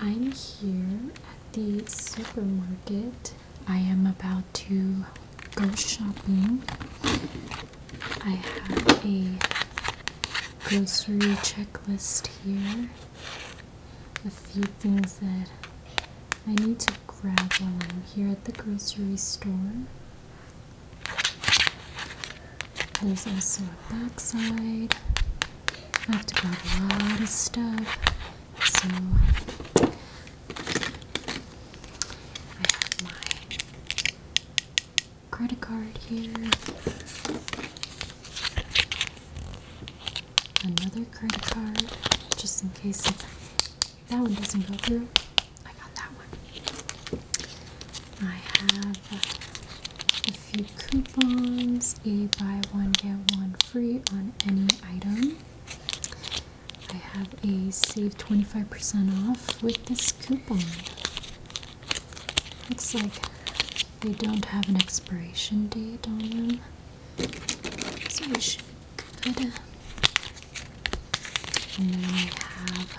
I'm here at the supermarket. I am about to go shopping. I have a grocery checklist here. A few things that I need to grab while I'm here at the grocery store. There's also a backside. I have to grab a lot of stuff. So I have my credit card here. Another credit card, just in case if that one doesn't go through. I got that one. I have a few coupons, a buy one get one free on any item. I have a save 25% off with this coupon. Looks like they don't have an expiration date on them, so it should be good. And then I have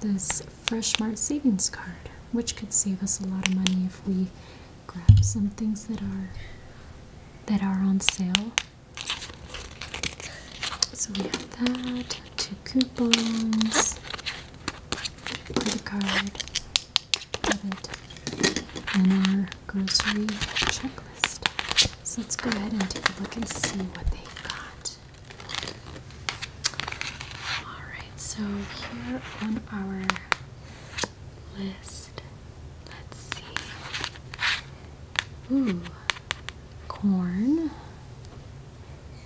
this Freshmart savings card, which could save us a lot of money if we grab some things that are that are on sale. So we have that, two coupons, credit card, debit, and our grocery checklist. So let's go ahead and take a look and see what they got. Alright, so here on our list, let's see. Ooh, corn.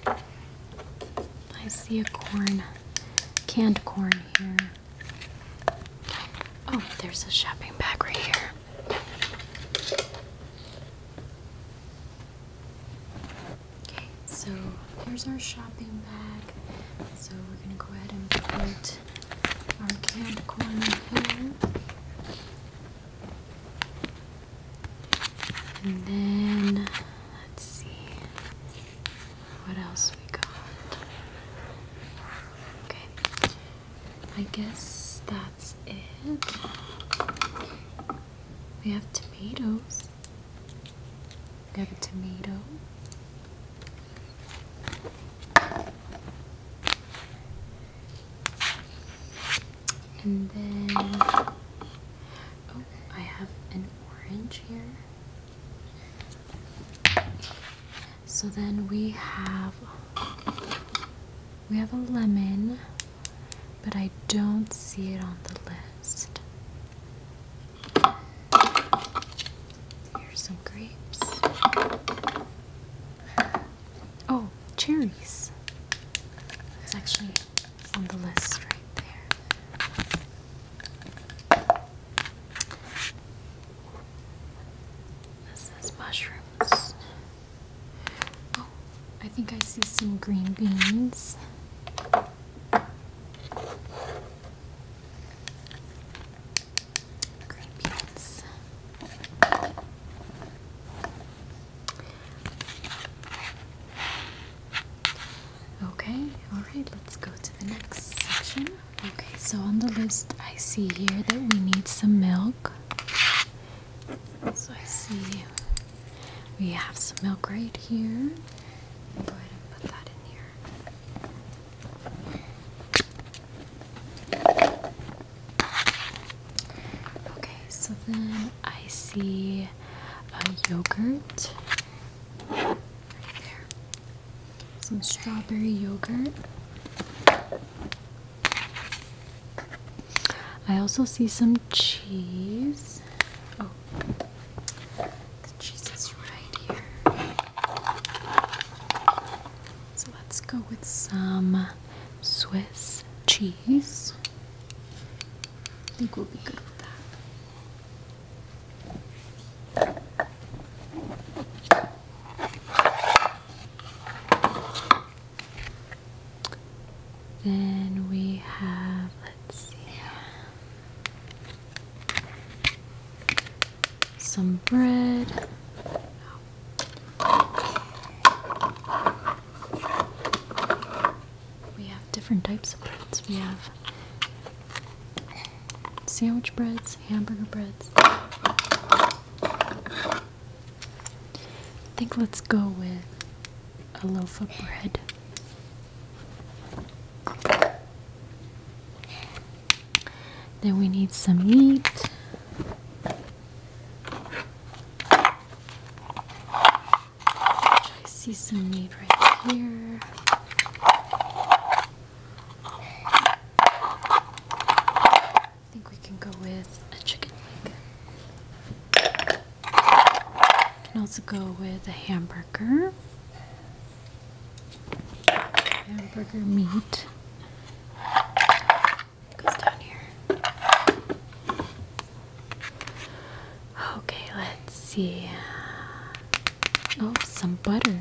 I see a corn, canned corn here. Oh, there's a shopping bag right here. Okay, so here's our shopping bag. So we're gonna go ahead and put our canned corn in here. And then let's see what else we got. Okay. I guess that's it. We have tomatoes. Have a tomato. And then, oh, I have an orange here. So then we have, we have a lemon, but I don't see it on the list. Here's some grapes. Oh, cherries. It's actually on the list right there. This is mushrooms. Oh, I think I see some green beans. Okay, alright, let's go to the next section. Okay, so on the list, I see here that we need some milk. So I see we have some milk right here. Okay, so then I see a yogurt right there. Some strawberry yogurt. I also see some cheese. Oh, the cheese is right here. So let's go with some Swiss cheese. I think we'll be good with that. Then we have, let's see, some bread. We have different types of breads. We have sandwich breads, hamburger breads. I think let's go with a loaf of bread. Then we need some meat. I see some meat right here. I think we can go with a chicken leg. You can also go with a hamburger. Hamburger meat goes down here. Okay, let's see. Oh, some butter.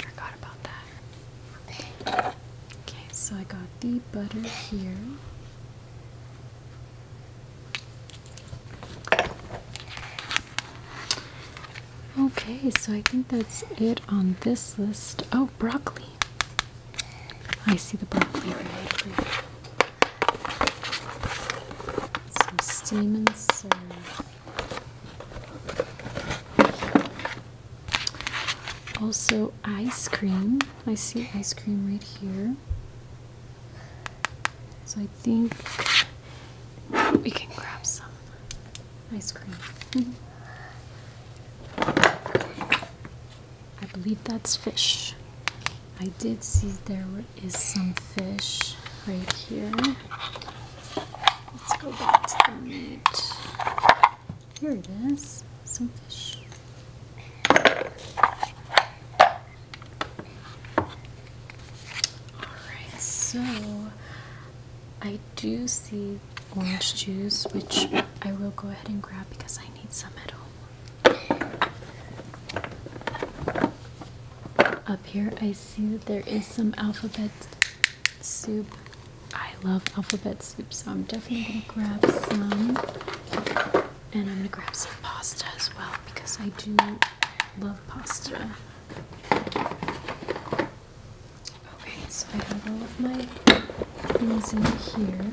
Forgot about that. Okay, so I got the butter here. Okay, so I think that's it on this list. Oh, broccoli. I see the broccoli right here. Some steam and serve. Also, ice cream. I see ice cream right here. So I think we can grab some ice cream. I believe that's fish. I did see there is some fish right here. Let's go back to the meat. Here it is, some fish. Alright, so I do see orange juice, which I will go ahead and grab because I need some at home. Up here, I see that there is some alphabet soup. I love alphabet soup, so I'm definitely going to grab some. And I'm gonna grab some pasta as well because I do love pasta. Okay, so I have all of my things in here.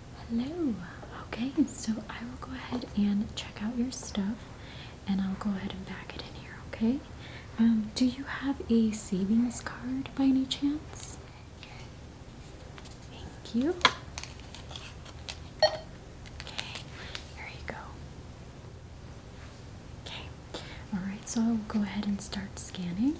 Hello. Okay, so I will go ahead and check out your stuff and I'll go ahead and back it in here, okay? Um, do you have a savings card by any chance? Thank you. Okay, here you go. Okay, alright, so I'll go ahead and start scanning.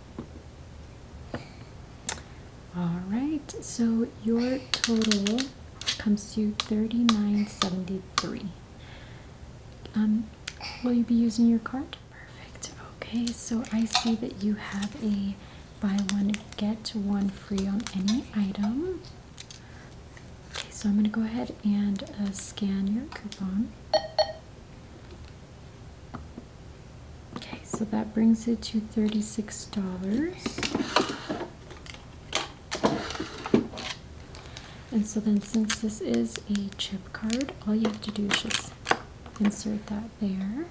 All right, so your total comes to thirty-nine seventy-three. Um, will you be using your card? Perfect. Okay, so I see that you have a buy one get one free on any item. Okay, so I'm gonna go ahead and uh, scan your coupon. Okay, so that brings it to $36. And so then since this is a chip card, all you have to do is just insert that there.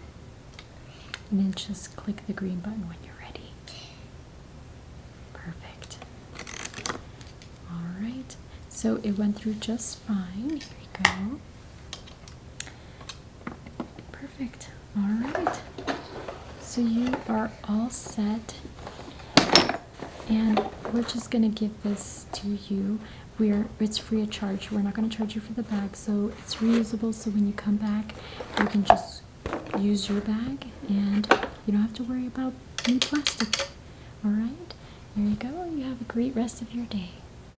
And then just click the green button when you're ready. Perfect. All right, so it went through just fine. Here we go. Perfect. All right. So you are all set. And we're just going to give this to you. We're it's free of charge. We're not going to charge you for the bag. So it's reusable so when you come back, you can just use your bag and you don't have to worry about any plastic. All right? There you go. You have a great rest of your day.